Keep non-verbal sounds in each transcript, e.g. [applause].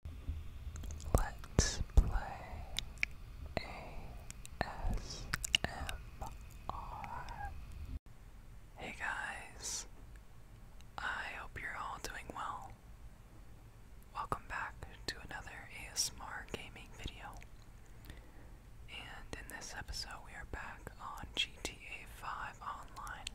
Hey guys, I hope you're all doing well. Welcome back to another ASMR gaming video. And in this episode, we are back on GTA 5 Online.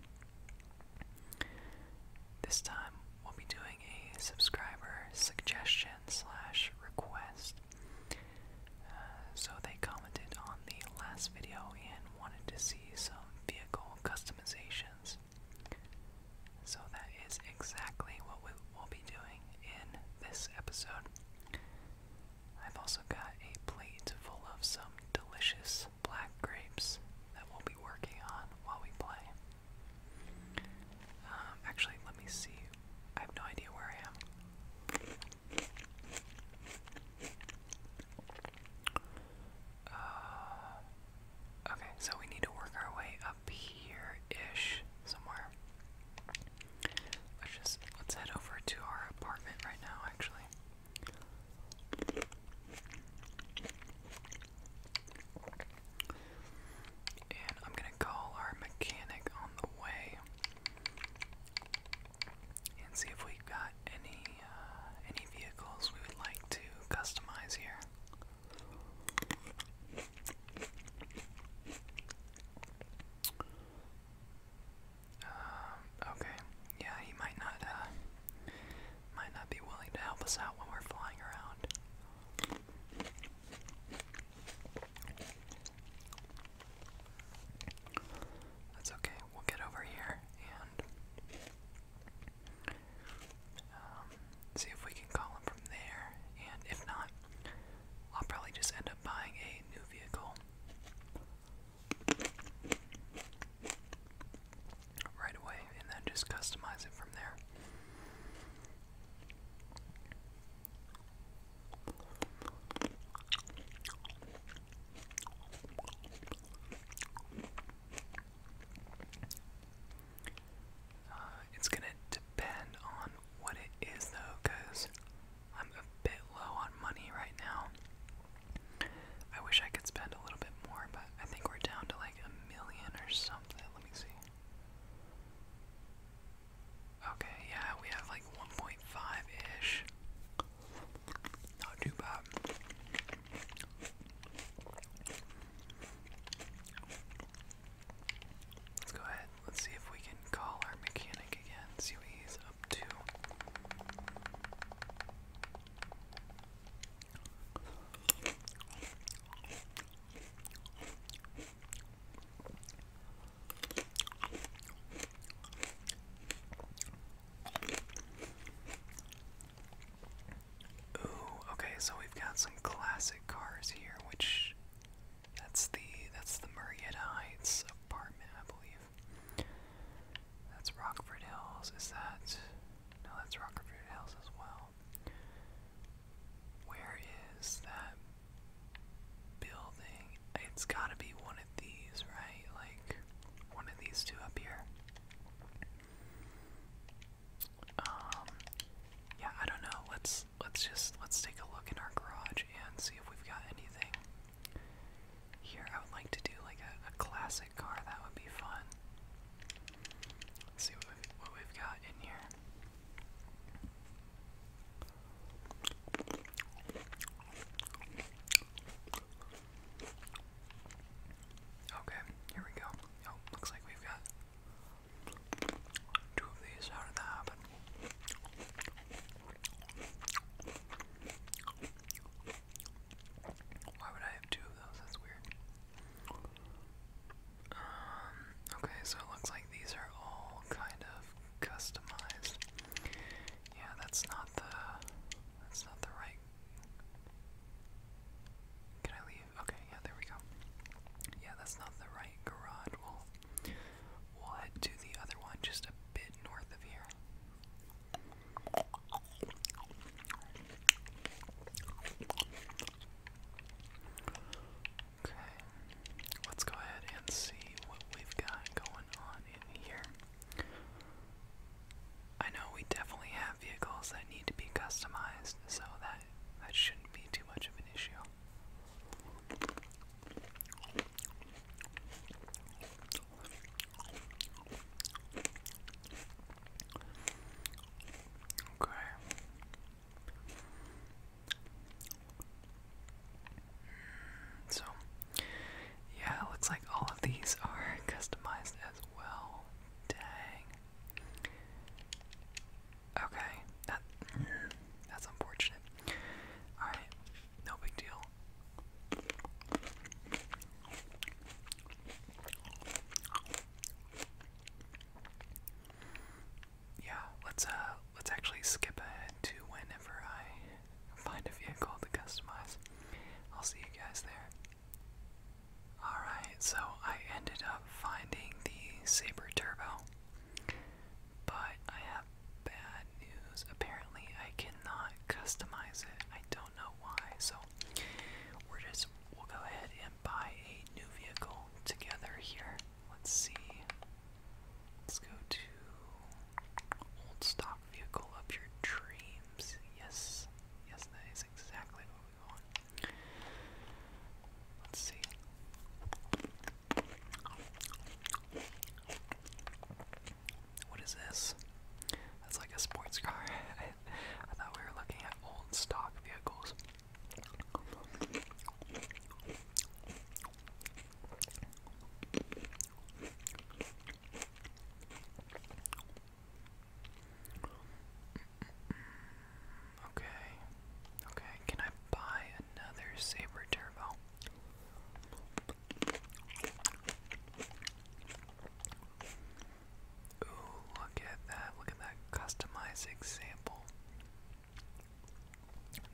This time we'll be doing a subscriber suggestion slash request. Uh, so they commented on the last video and wanted to see some vehicle customizations. So that is exactly what we will be doing in this episode. I've also got a plate full of some delicious black grapes that we'll be working on while we play. Um, actually, let me see. I have no idea where I am. Uh, okay, so we need to work our way up here ish somewhere. Let's just let's head over to our apartment right now actually. And I'm gonna call our mechanic on the way and see if we've got any uh, any vehicles we would like to customize here. Um, okay. Yeah, he might not uh, might not be willing to help us out when we're flying around. That's okay, we'll get over here and um, see if we can call him from there. And if not, I'll probably just end up buying a new vehicle right away and then just customize it from there. Uh, it's gonna depend on what it is though, because I'm a bit low on money right now. I wish I could spend a little bit more, but I think we're down to like a million or something let me see. Okay, yeah, we have like 1.5-ish. Not too bad. Let's go ahead. Let's see if we can call our mechanic again. See what he's up to. Ooh, okay, so we've got some classic cars here, which that's the that's the Marietta Heights apartment, I believe. That's Rockford Hills. Is that no? That's Rockford Hills as well. Where is that building? It's gotta be one of these, right? Like, one of these two up here. Um, yeah, I don't know. Let's, let's just, let's take a look in our garage and see if we've got anything. Here, I would like to do like a classic car. That would be fun. Let's see what we've, got in here. Okay, here we go. Oh, looks like we've got two of these. How did that happen? Why would I have two of those? That's weird. Um, okay, so it looks like these are all kind of customized. Yeah, that's not the that's not the right. Can I leave? Okay, yeah, there we go. Yeah, that's not the right garage. We'll we'll head to the other one just a bit north of here. Okay, let's go ahead and see what we've got going on in here. I know we definitely have vehicles that need to be customized, so that that shouldn't be too much of an issue. Okay. Mm, so, yeah, it looks like all of these are [laughs] customized as well. Dang. Okay, that [clears throat] that's unfortunate. All right, no big deal. Yeah, let's uh let's actually skip ahead to whenever I find a vehicle to customize. I'll see you guys there. Alright, so I ended up finding the Sabre Turbo. But I have bad news. Apparently I cannot customize it. I don't know why, so we're just we'll go ahead buy a new vehicle together here. Let's see. Let's go to old stock vehicle up your dreams. Yes. Yes, that is exactly what we want. Let's see. What is this? That's like a sports car. [laughs] I thought we were looking at old stock vehicles. Okay. Okay, can I buy another Saber Turbo? Ooh, look at that. Look at that customized example.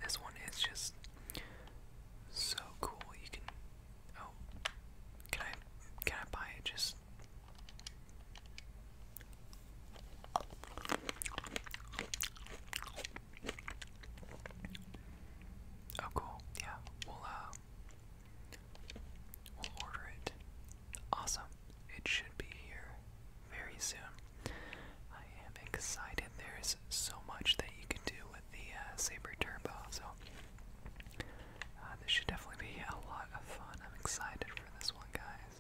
This one is just so cool. You can oh can I can I buy it just Oh cool, yeah, we'll uh, we'll order it. Awesome it should be here very soon. I am excited. There's so much that you can do with the uh, Saber Turbo, so uh, this should definitely be [laughs] a lot of fun. I'm excited for this one, guys.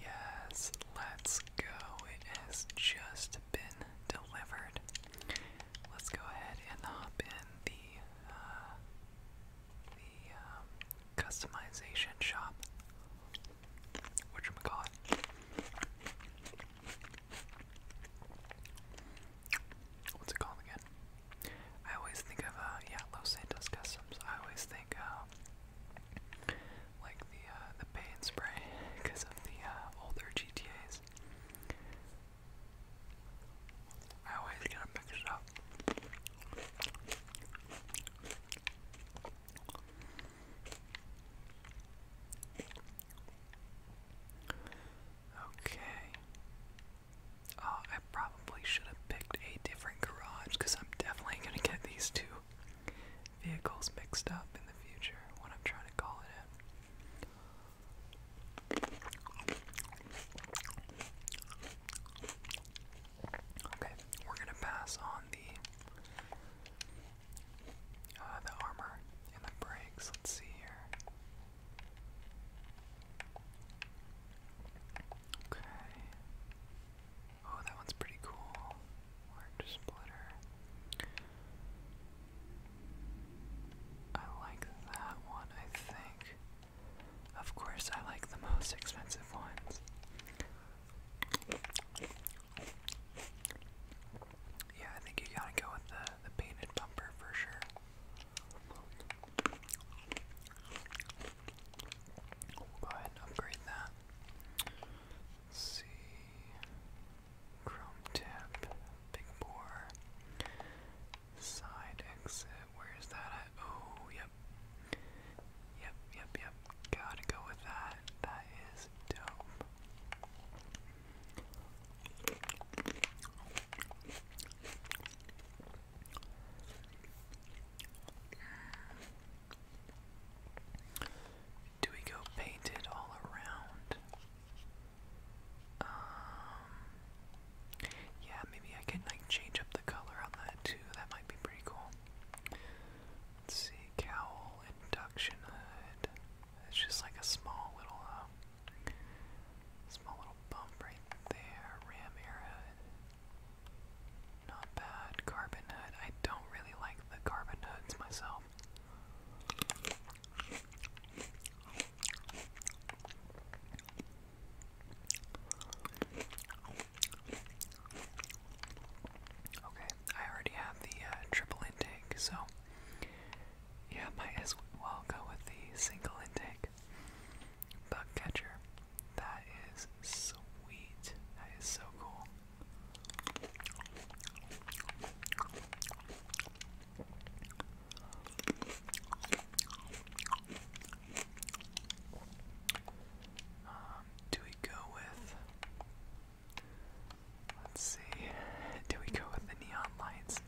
Yes, let's go. It has just been delivered. Let's go ahead and hop in the uh, the um, customization shop, which I'm What's it called again? I always think of uh, yeah, Los Santos Customs. I always think um, like the uh, the paint spray because [laughs] of the uh, older GTA's. I always get them mixed up. Okay. Oh, I probably should have picked a different garage because I'm definitely going to get these two vehicles mixed up in the future when I'm trying to call it Okay, we're gonna pass on the uh, the armor and the brakes. Let's see here. Okay. Oh, that one's pretty cool. Large splitter. I like that one. I think. Of course, I like the most expensive ones. Yeah, I think you gotta go with the, the painted bumper for sure. We'll go ahead and upgrade that. see. Chrome tip, big bore, side exit. Where's that at? Oh, yeah, Yep. Yep, yep, Gotta go with that. That is dope. Do we go painted all around? Um, yeah, maybe I can like change up the color on that too. That might be pretty cool. see, cowl induction hood. It's just like a small little, uh, small little bump right there. Ram airhead. Not bad. Carbon hood. I don't really like the carbon hoods myself. Okay, I already have the uh, triple intake, so yeah, might as well go with the single intake. Bug catcher. That is sweet. That is so cool. Um, do we go with. Let's see. Do we go with the neon lights?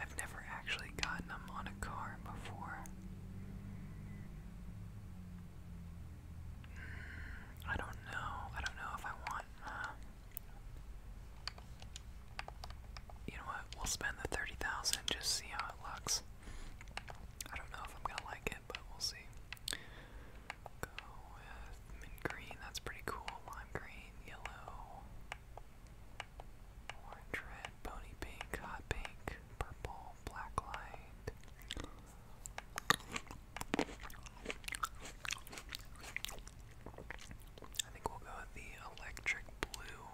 I've never actually gotten them on a car before. Hmm, I don't know. I don't know if I want. Uh, you know what? We'll spend the 30,000 just see how it looks. I don't know if I'm gonna like it, but we'll see. Go with mint green, that's pretty cool. Lime green, yellow, orange, bony pink, hot pink, purple, black light. I think we'll go with the electric blue.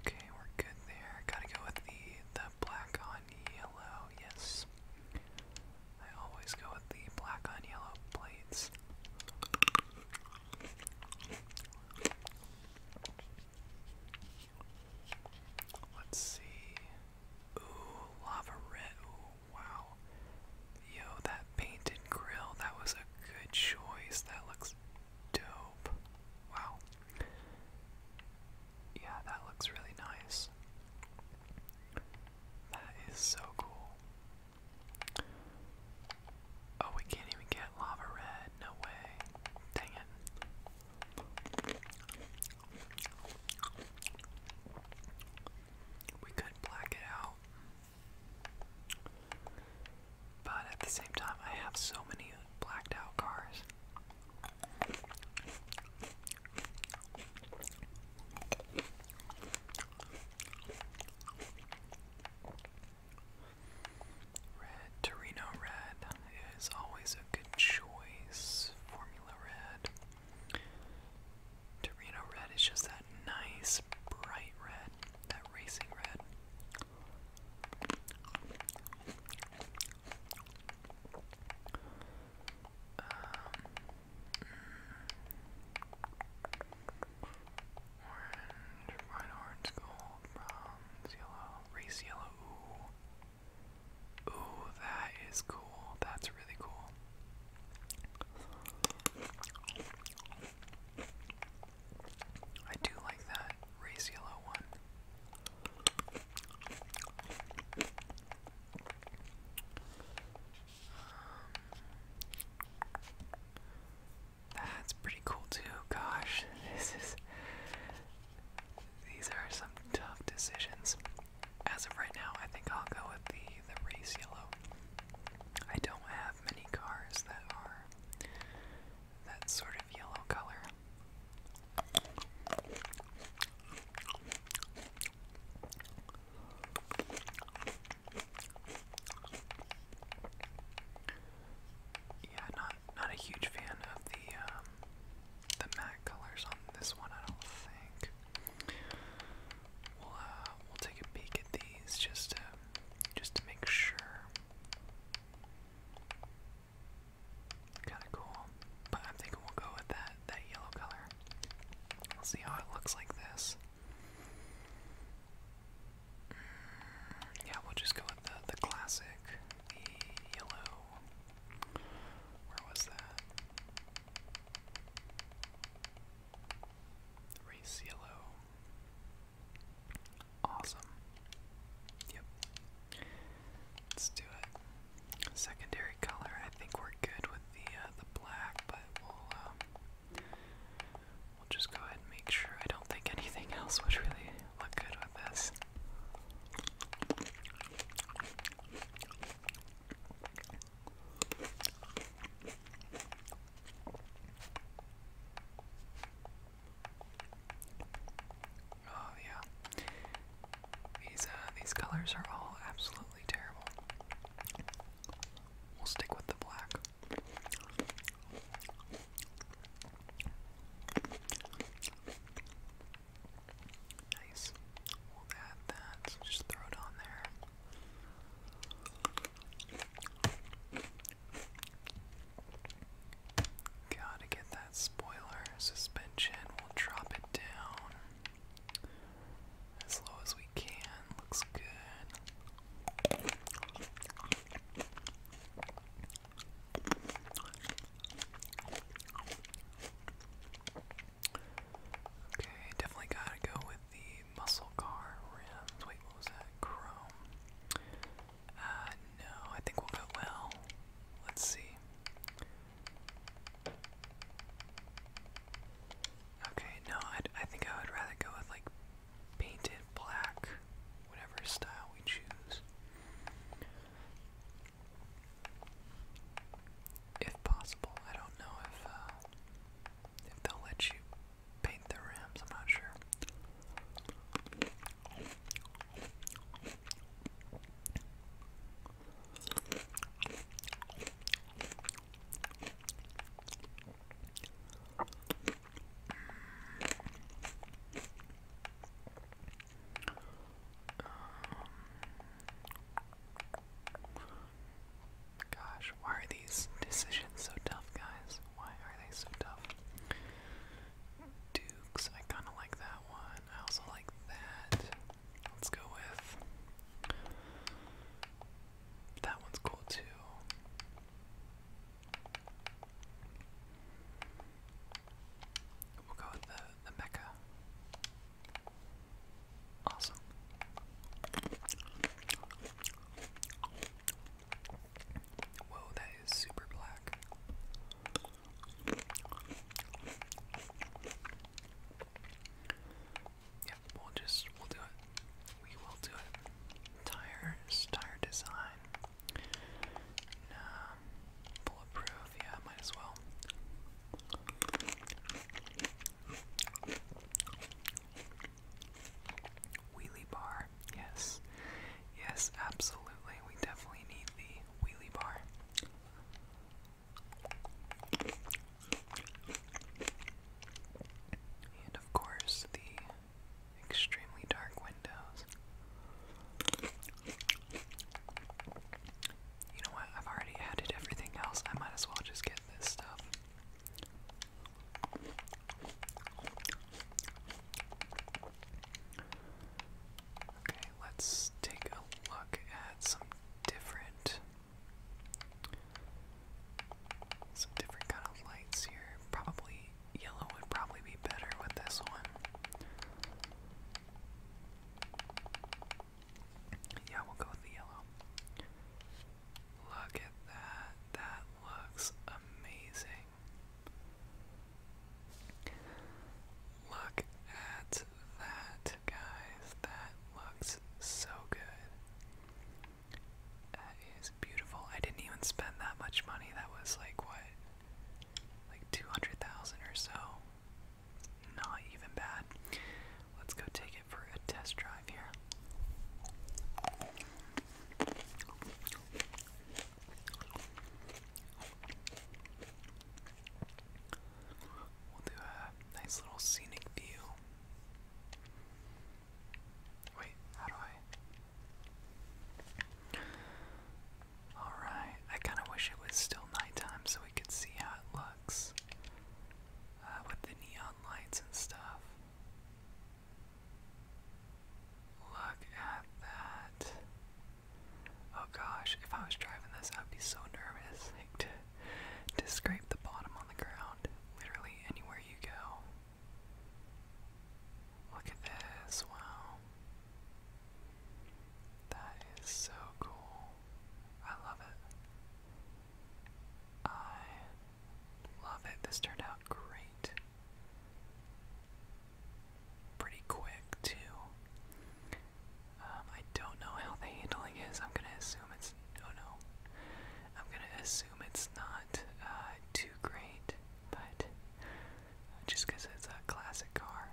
Okay, we're good there. Gotta go with the the black on yellow. Yes, I always go with the black on yellow plates. Let's see. Ooh, lava red wow. Yo, that painted grill, that was a good choice. That looks dope. Wow. Yeah, that looks really nice. That is so cool. Oh, we can't even get lava red. No way. Dang it. We could black it out. But at the same time, I have so many blacked out cars. Red, Torino Red is always a good choice. Formula Red. Torino red is just that nice bright red, that racing red. Um, mm, orange, bright orange, gold, bronze, yellow, race yellow. ooh, that is cool. That's really cool. I do like that race yellow one. Um, that's pretty cool too. Gosh, [laughs] this is. These are some tough decisions as of right now, I think I'll go with the the race yellow. I don't have many cars that are that sort of yellow color. Yeah, not not a huge fan of the um, the matte colors on this one. I don't think. Uh, we'll take a peek at these just to just to make sure. Kinda cool. But I'm thinking we'll go with that that yellow color. see how it looks like this. Mm, yeah, we'll just go with the the classic, the yellow. Where was that? Race yellow. Awesome. Yep. Let's do it. Secondary color. I think we're good with the uh, the black, but we'll um, we'll just go ahead and make sure. I don't think anything [laughs] else would really look good with this. Oh yeah. These uh these colors are all absolutely terrible. We'll stick with the black. Nice. We'll add that. Just throw it on there. Gotta get that spoiler suspension. We'll drop it down as low as we can. Looks good. Okay, definitely gotta go with the muscle car rims. Wait, what was that? Chrome. Uh, no, I think we'll go well. Let's see. Okay, no, i I think I would rather go with like painted black, whatever style we choose. If possible, I don't know if uh, if they'll let you paint the rims, I'm not sure. Um, Gosh, why are these decisions so tough, guys? Why are they so tough? Dukes, I kind of like that one. I also like that. Let's go with. That one's cool too. We'll go with the, the Mecca. Awesome. Whoa, that is super black. Yep, we'll just we'll do it. We will do it. Tires, tire design. Nah, bulletproof. Yeah, might as well. Wheelie bar, yes. Yes, absolutely. We definitely need the wheelie bar. And of course, the extremely dark windows. You know what? I've already added everything else. I might as well just get this stuff. Okay, let's take a look at some different some different kind of lights here. Probably yellow would probably be better with this one. Yeah, we'll go with the yellow. Look at that. That looks amazing. Look at that, guys. That looks so good. That is beautiful. I didn't even spend that much money. That was like what? Like 200,000 or so. Not even bad. Let's go take it for a test drive. We'll do a nice little scenic view. Wait, how do I? Alright, I kind of wish it was still nighttime so we could see how it looks. Uh, with the neon lights and stuff. Look at that. Oh gosh, if I was driving this, I'd be so nervous. [laughs] to scrape the bottom on the ground, literally anywhere you go. Look at this, wow. That is so cool. I love it. I love it. This turned out great. Pretty quick, too. Um, I don't know how the handling is. I'm gonna assume it's. Oh no. I'm gonna assume it's not uh, too great, but just because it's a classic car.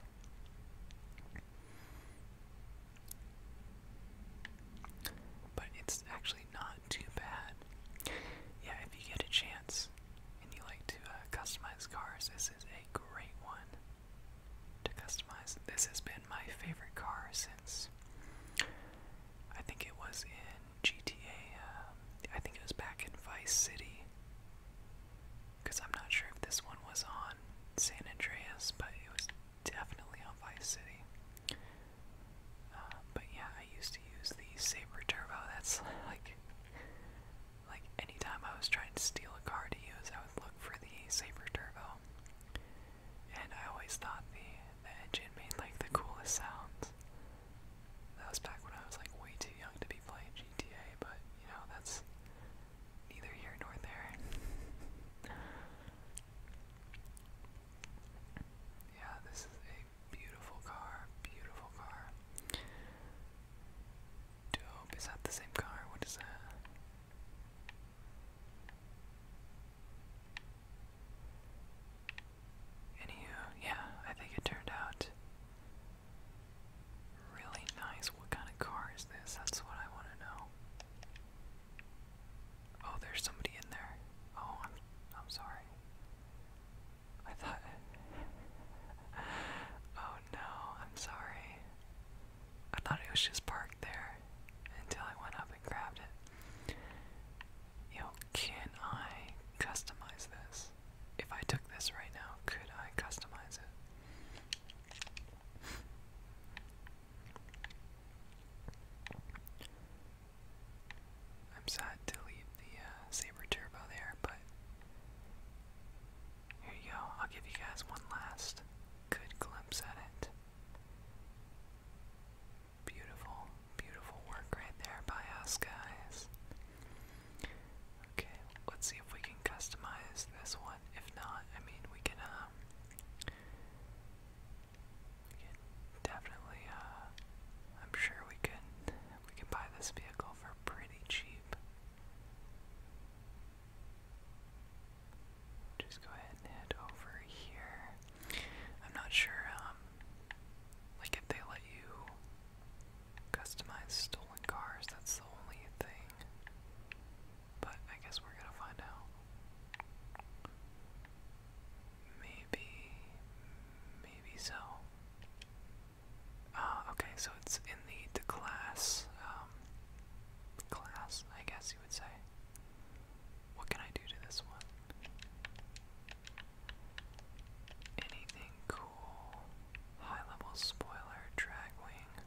But it's actually not too bad. Yeah, if you get a chance and you like to uh, customize cars, this is a great one to customize. This has been my favorite car since I think it was in GTA. Um, I think it was back in Vice City. Because I'm not sure if this one was on San Andreas, but it was definitely on Vice City. Uh, but yeah, I used to use the Saber Turbo. That's like, like anytime I was trying to steal a car to use, I would look for the Saber Turbo. And I always thought the, the engine made like the coolest sounds. That was back when I was like way too young to be playing GTA, but you know, that's neither here nor there. Yeah, this is a beautiful car. Beautiful car. Dope. Is that the same car? What is that? Anywho, uh, yeah, I think it turned out really nice. What kind of car is this? That's what I want to know. Oh, there's somebody in there. Oh, I'm I'm sorry. I thought [laughs] Oh no, I'm sorry. I thought it was just parked there until I went up and grabbed it. Yo, can I customize this? If I took this right now, could I customize it? I'm sad to leave the uh, Saber Turbo there, but here you go. I'll give you guys one last good glimpse at it. Beautiful, beautiful work right there by us, guys. Okay, let's see if we can customize this one. If not, I mean, we can, um, we could definitely, uh, I'm sure we can. we could buy this vehicle for pretty cheap. Just go ahead and head over here. I'm not sure, um, like if they let you customize stolen cars, that's the only thing. But I guess we're gonna find out. Maybe, maybe so. Uh, okay, so it's in the, the class, um, class, I guess you would say. What can I do to this one? Anything cool? High level spoiler, dragwing.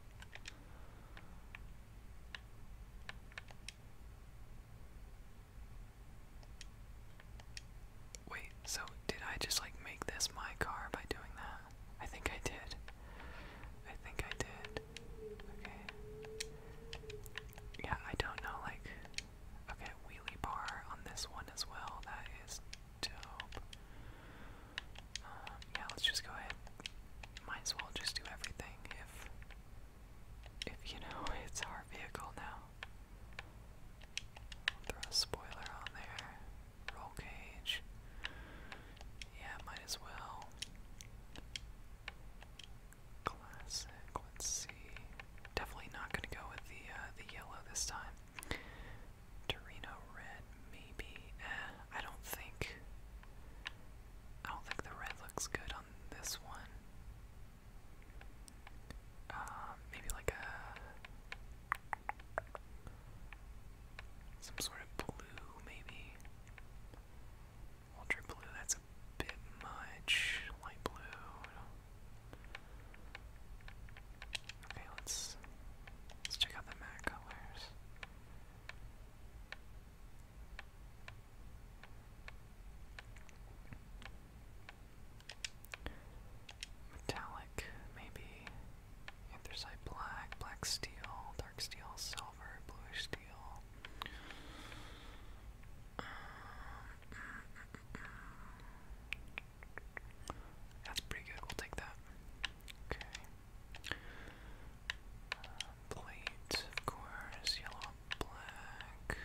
Wait, so did I just like make this my car by doing that? I think I did. I think I did. Okay. Yeah, I don't know, like. Okay, wheelie bar on this one as well. That is dope. Um, yeah, let's just go ahead. Might as well just do everything if if you know it's our vehicle now. throw a spoiler on there. Roll cage. Yeah, might as well. Classic. Let's see. Definitely not going to go with the uh, the yellow this time. Torino red, maybe. Eh, I don't think. I don't think the red looks good this one. Uh, maybe like a some sort of blue, maybe ultra blue. That's a bit much. Light blue. Okay, let's let's check out the matte colors. Metallic, maybe. Anthracite black, black steel, dark steel, silver, bluish steel. that's pretty good, we'll take that. Okay. Uh, plate, of course, yellow black.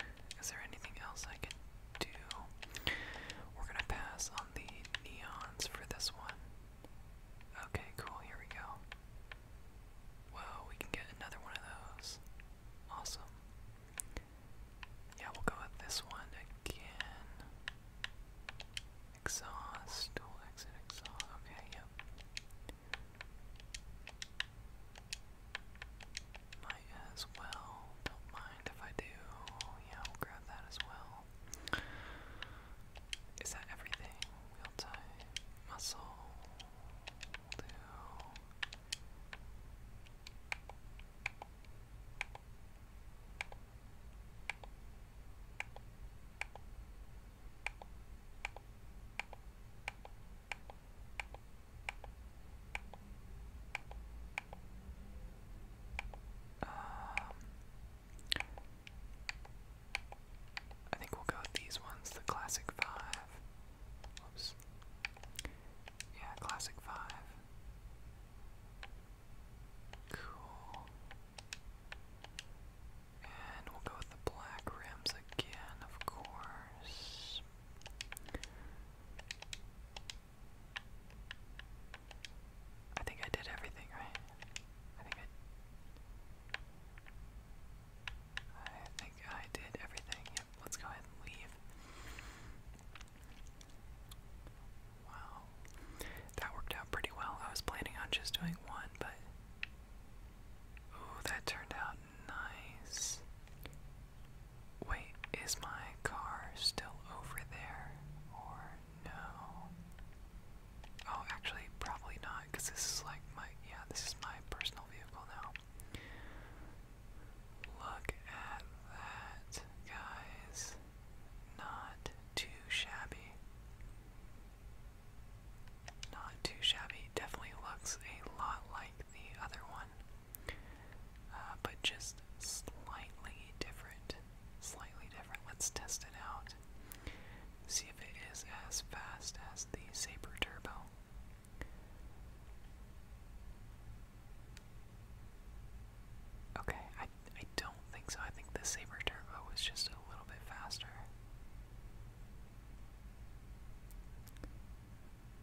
Is there anything else I can do? We're gonna pass on the neons for this one. Okay, cool, here we go. Whoa, we can get another one of those. Awesome. Yeah, we'll go with this one again. Exhaust, dual exit, exhaust. Okay, yep. Might as well. Don't mind if I do. Yeah, we'll grab that as well. Is that everything? Wheel type, muscle, do. Um, I think we'll go with these ones, the classic five. Yeah, classic five. Cool. And we'll go with the black rims again, of course. I think I did everything right. I think I. I think I did everything. let's go ahead and leave. Wow. That worked out pretty well. I was planning on just doing one, but. Ooh, that turned out Nice. Wait, is my car still over there? Or no? Oh, actually, probably not, because this is like my, yeah, this is my personal vehicle now. Look at that, guys. Not too shabby. Not too shabby. Definitely looks a lot like the other one, uh, but just slightly different. Slightly different. Let's test it out. See if it is as fast as the Saber Turbo. Okay, I I don't think so. I think the Saber Turbo was just a little bit faster.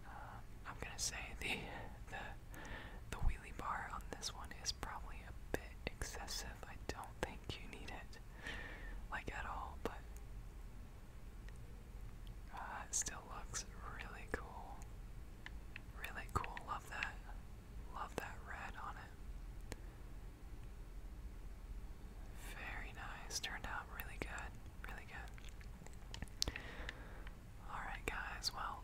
Uh, I'm gonna say the [laughs] the the wheelie bar on this one is probably a bit excessive. I don't think you need it like at all, but uh, it still looks really cool. Really cool. Love that. Love that red on it. Very nice. Turned out really good really good. Alright, guys, well,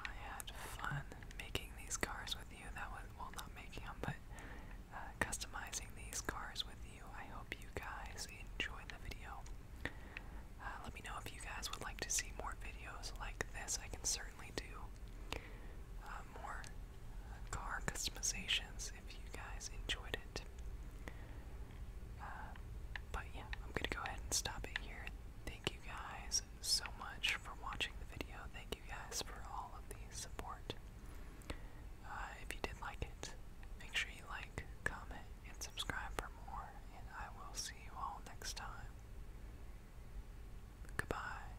I had fun making these cars with you. That was, well, not making them, but uh, customizing these cars with you. I hope you guys enjoyed the video. Uh, let me know if you guys would like to see more videos like this. I can certainly do uh, more car customizations if you guys enjoyed it. Uh, but yeah, I'm gonna go ahead and stop it here. Thank you guys so much for watching the video. Thank you guys for all of the support. Uh, if you did like it, make sure you like, comment, and subscribe for more. And I will see you all next time. Goodbye.